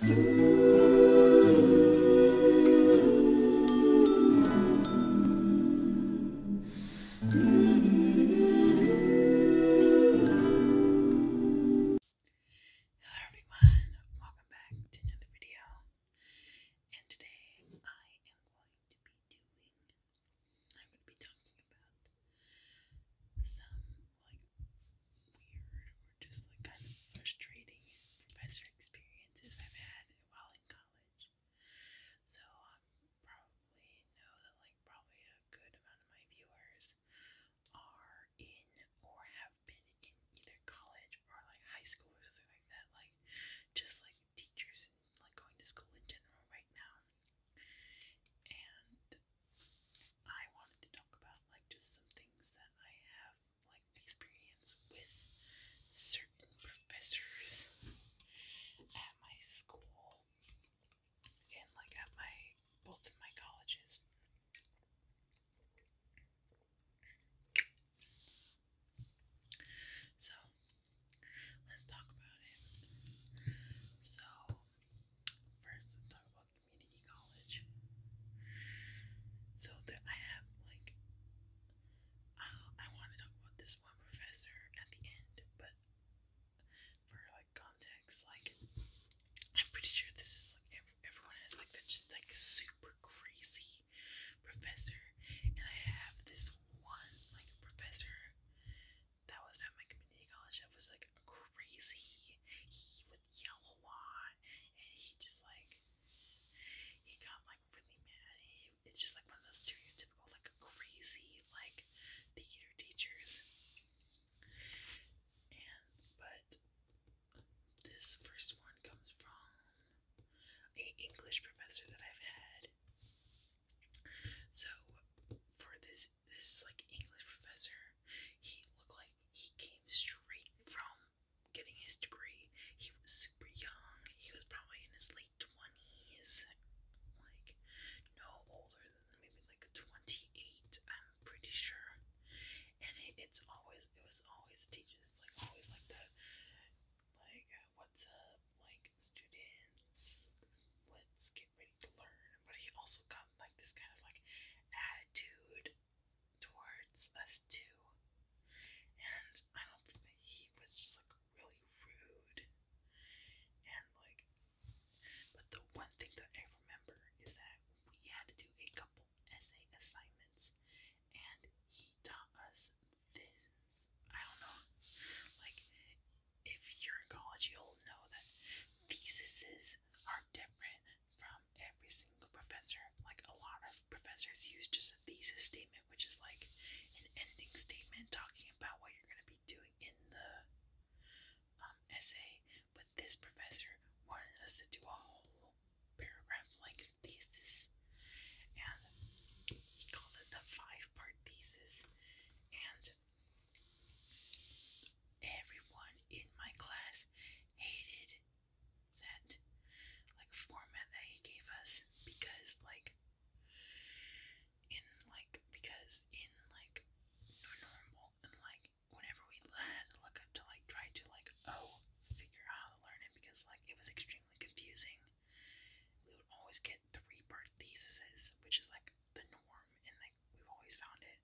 Hello everyone, welcome back to another video. And today I am going to be doing, I'm going to be talking about some like weird or just like kind of frustrating professor experiences I've had while in college. So I um, probably know that like probably a good amount of my viewers are in or have been in either college or like high school or something like that. Like just like teachers and like going to school in general right now. And I wanted to talk about like just some things that I have like experience with certain professors at my school and like at my both of my colleges. So let's talk about it. So first let's talk about Community College. So that I have like, uh, I want to talk about this one professor at the end, but for like context, like I'm pretty sure this is like everyone has like that just like super crazy professor, and I have this one like professor that was at my community college that was like crazy he would yell a lot, and he just like he got like really mad. He, it's just like one of those stereotypical like crazy like theater teachers. And but this first one comes from a English professor that I've had. So for this this like English professor, he looked like he came straight from getting his degree. He was super young. He was probably in his late 20s. Like, no older than maybe like 28, I'm pretty sure. And it, it's always, it was always teachers, like, always like that, like, uh, what's up, like, students, let's get ready to learn. But he also got, like, this kind of, like, attitude towards us too. And I don't think he was just like really rude. And like, but the one thing that I remember is that we had to do a couple essay assignments and he taught us this. I don't know. Like, if you're in college, you'll know that theses are different from every single professor. Like, a lot of professors use just a thesis statement, which is like an ending statement talking about what you're going to be doing in the um, essay. But this professor wanted us to do a whole paragraph like his thesis. And he called it the five part thesis. And everyone in my class hated that like format that he gave us because like in like because in like normal and like whenever we had to look up to like try to like oh figure out how to learn it because like it was extremely confusing we would always get three part which is like the norm and like we've always found it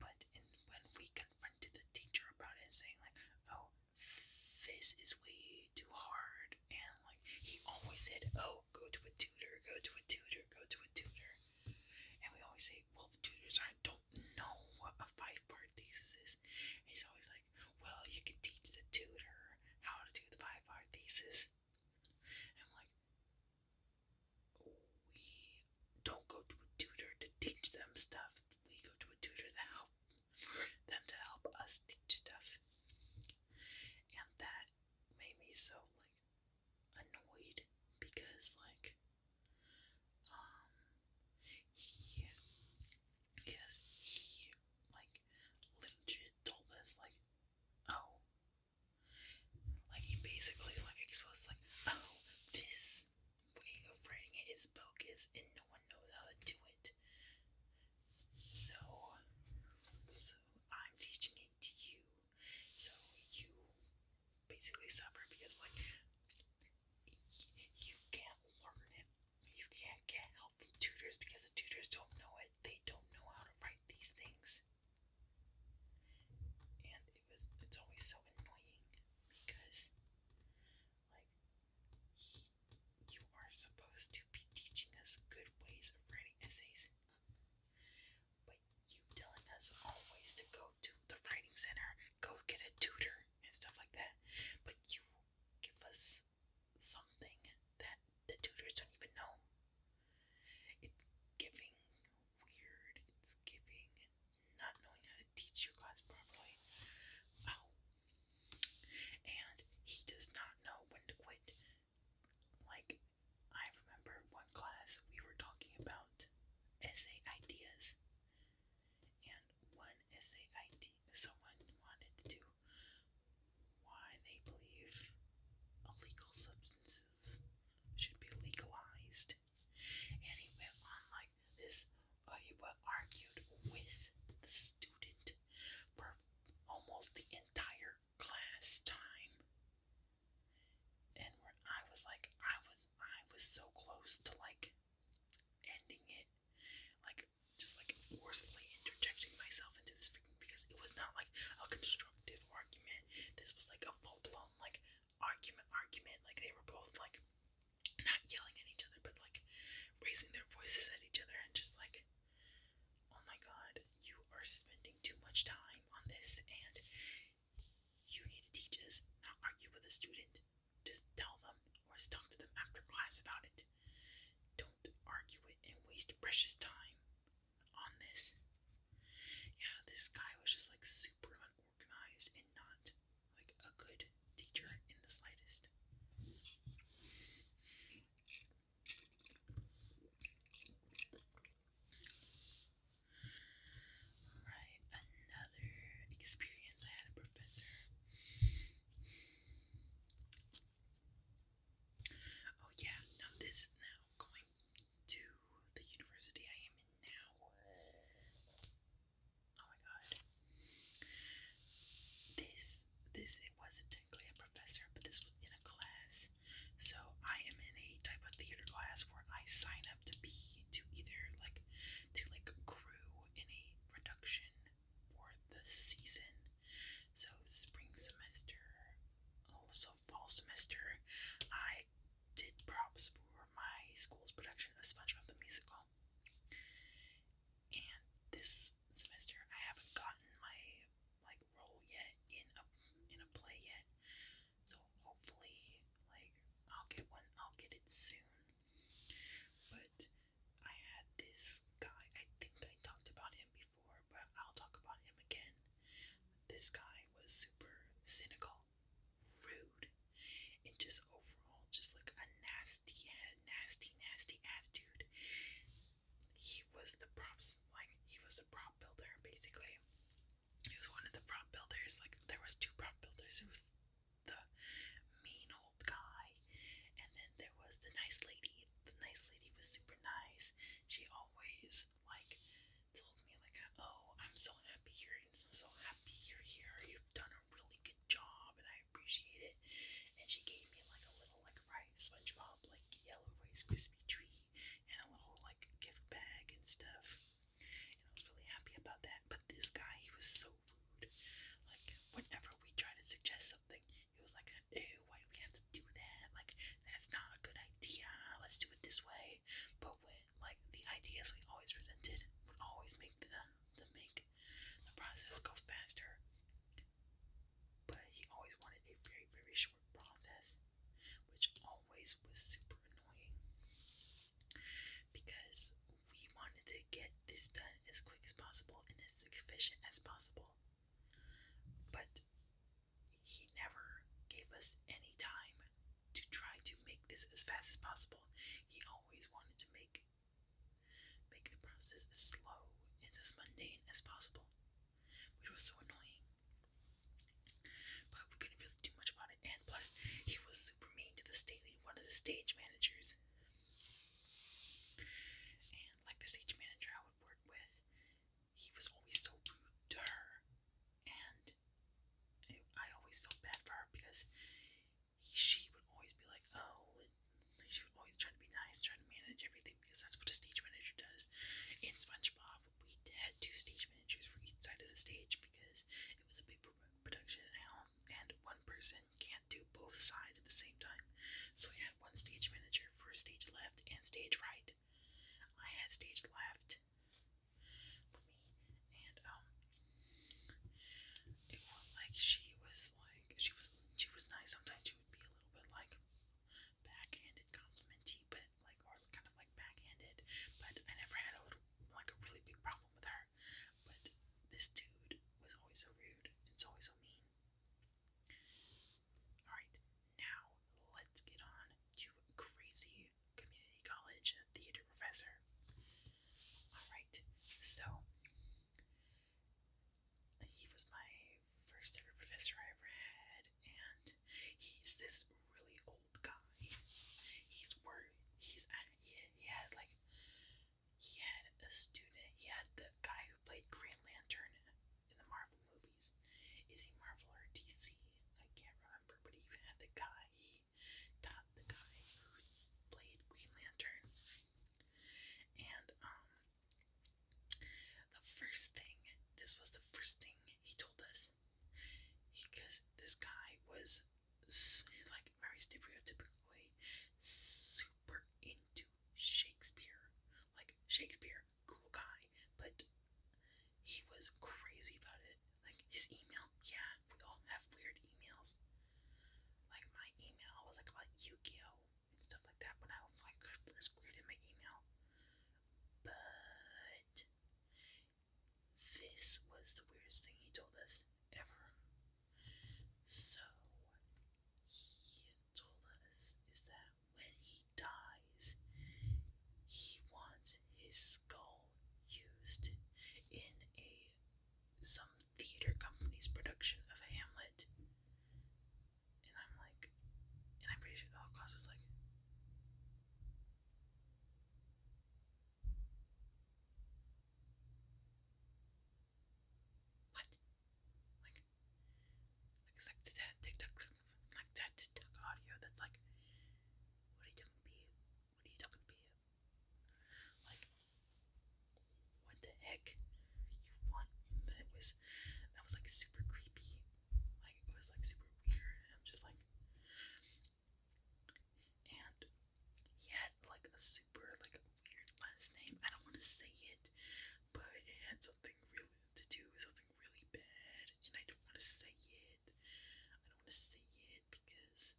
but in, when we confronted the teacher about it, saying like, "Oh, this is way too hard," and like he always said, "Oh, go to a tutor, go to a tutor, go to a tutor," and we always say, "Well, the tutors I don't know what a five-part thesis is." And he's always like, "Well, you can teach the tutor how to do the five-part thesis." I'm like, we don't go to a tutor to teach them stuff. We go to a tutor to help them to help us teach stuff. And that made me so like annoyed because like um he yes he like legit told us like oh like he basically like exposed like oh this way of writing it is bogus and no one knows how to do it. So, so I'm teaching it to you. So you basically suffer because like you can't learn it. You can't get help from tutors because the tutors don't know it. They don't know how to write these things. And it's always so annoying because like you are supposed to be teaching us good ways of writing essays. But you telling us always to go to the writing center, go get a tutor and stuff like that. But you give us something that the tutors don't even know. It's giving weird, it's giving not knowing how to teach your class properly. Oh. and he does not know when to quit. Like, I remember one class we were talking about essay ideas, and one essay idea someone wanted to do why they believe illegal substances should be legalized and he went on like this. Uh, he argued with the student for almost the entire class time, and I was like, I was, I was so close to like ending it, like just like forcefully interjecting myself into this because it was not like a constructive argument. This was like a full blown like argument, argument. Like they were both like not yelling at each other, but like raising their voices at each other and just like, oh my god, you are spending too much time on this and you need to teach us, not argue with a student. Just tell them or just talk to them after class about it. Don't argue it and waste precious time on this. Yeah, this guy was just like super unorganized and not like a good teacher in the slightest. Alright, another experience I had a professor. Oh yeah, now this now going to the university I am in now. Oh my god. This this it wasn't technically a professor, but this was in a class. So I am in a type of theater class where I sign up to be to either like to like crew in a production for the season. So spring semester also fall semester I did props for my school's production of SpongeBob the Musical. And this semester, I haven't gotten my like role yet in a in a play yet. So hopefully, like I'll get one. I'll get it soon. But I had this guy. I think I talked about him before, but I'll talk about him again. This guy was super cynical rude, and just overall, just like a nasty, nasty, nasty attitude. He was the props, like he was the prop builder, basically. He was one of the prop builders. Like there was two prop builders. It was the mean old guy, and then there was the nice lady. The nice lady was super nice. She always like told me like, "Oh, I'm so happy you're i so happy you're here. You've done a really good job and I appreciate it. And she gave me like a little like rice SpongeBob like yellow rice crispy treat and a little like gift bag and stuff. And I was really happy about that. But this guy, he was so rude. Like whenever we try to suggest something, he was like, ew, why do we have to do that? Like that's not a good idea. Let's do it this way. But when like the ideas we always presented would always make the to make the process go faster. But he always wanted a very, very short process, which always was super annoying because we wanted to get this done as quick as possible and as efficient as possible. But he never gave us any time to try to make this as fast as possible. He always wanted to make Make the process as slow and as mundane as possible, which was so annoying. But we couldn't really do much about it, and plus, he was super mean to the stage, one of the stage managers. And like the stage manager I would work with, he was always so rude to her, and I always felt bad for her because she would always be like, oh, she would always try to be nice, try to manage everything because that's what a stage manager does. In SpongeBob, we had two stage managers for each side of the stage because it was a big production and one person can't do both sides at the same time. So we had one stage manager for stage left and stage right. I had stage left for me, and um, it was like she was like she was she was nice. Sometimes she would be a little bit like backhanded, complimenty, but like or kind of like backhanded. But I never had a little like a really big problem with her. But this dude was always so rude. It's always so mean. Alright, now let's get on to crazy community college theater professor. Alright. So he was my first ever professor I ever had, and he's this really old guy. He's worried. He's he, he had like he had a student. He had the guy who played Green Lantern in the Marvel movies. Is he Marvel or DC? I can't remember. But he even had the guy dot the guy played Green Lantern. And um the first thing this was the first thing he told us because this guy was like very stereotypically super into Shakespeare. Like Shakespeare, cool guy, but he was crazy about it. Like his email, yeah, we all have weird emails. Like my email was like about yu and stuff like that when I was like first created my email. But this was the weirdest thing he told us ever. So he told us is that when he dies, he wants his skull used in a some theater company's production of Hamlet. And I'm like, and I'm pretty sure the whole class was like, what? Like, like it's like that TikTok, like that TikTok audio that's like, what are you talking to What are you talking to like, what the heck? You want? That was that was like super creepy. Like it was like super weird. I'm just like, and he had like a super like weird last name. I don't want to say it, but it had something really to do with something really bad, and I don't want to say it. I don't want to say it because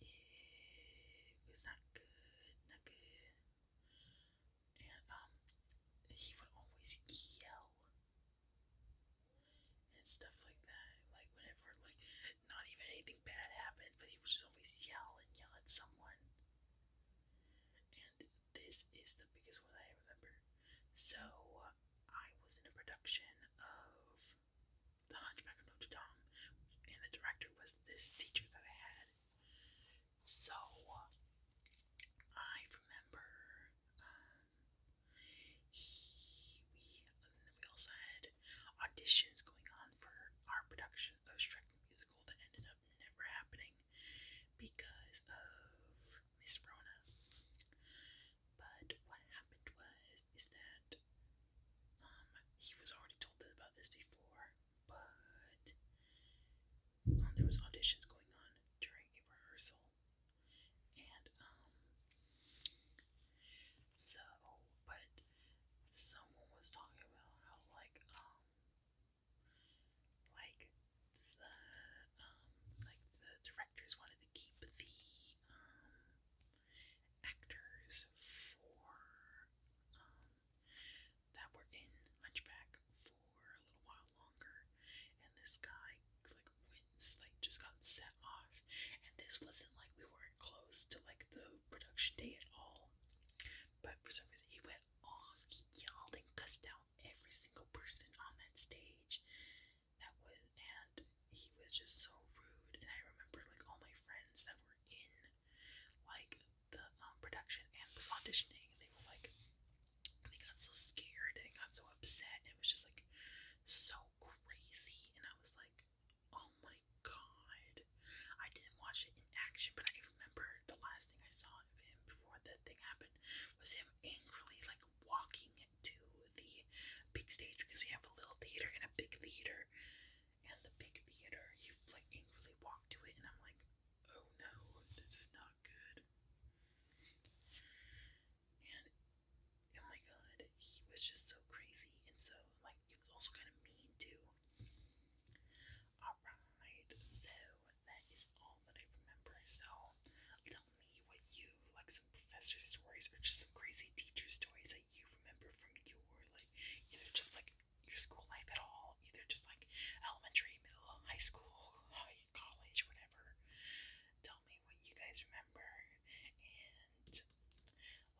it was not good, not good. And um, he would always yell and stuff like that. Like whenever, like not even anything bad happened, but he would just always yell and yell at someone. And this is the biggest one I remember. So I was in a production of the Hunchback of Notre Dame, and the director was this teacher that I had. So I remember um, he we also had auditions going on for our production of Shrek Musical that ended up never happening because of Miss Rona. But what happened was is that um, he was already told about this before, but um, there was auditions going on during a rehearsal, and um, so but someone was talking about how like um like the um like the directors wanted to keep the um actors for that were in Hunchback for a little while longer, and this guy like wins like just got set off, and this wasn't like we weren't close to like the production day at all, but for some reason he went off, he yelled and cussed out every single person on that stage. That was and he was just so rude, and I remember like all my friends that were in like the um, production and was auditioning, and they were like, and they got so scared and they got so upset, and it was just like so crazy. And I was like, oh my god, I didn't watch it in action, but I remember the last thing I saw of him before the thing happened was him angrily like walking to the big stage because you have a little theater and a big theater and the big theater. You like angrily walk to it, and I'm like, oh no, this is not good. And oh my god, he was just so crazy, and so like it was also kind of mean too. Alright, so that is all that I remember. So tell me what you like some professor stories or just some crazy teacher stories that you remember from your like either just like your school life at all, either just like elementary, middle, high school, high college, whatever. Tell me what you guys remember and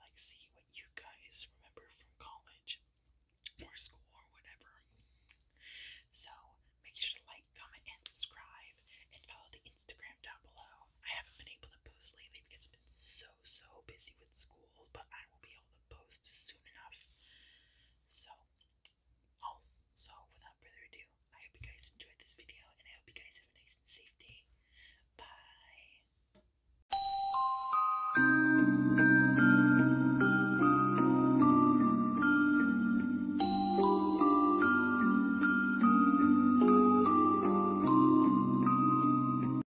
like see what you guys remember from college or school or whatever. So make sure to like, comment, and subscribe and follow the Instagram down below. I haven't been able to post lately because I've been so so busy with school but I will be able to post soon enough. So, also, without further ado, I hope you guys enjoyed this video, and I hope you guys have a nice and safe day. Bye.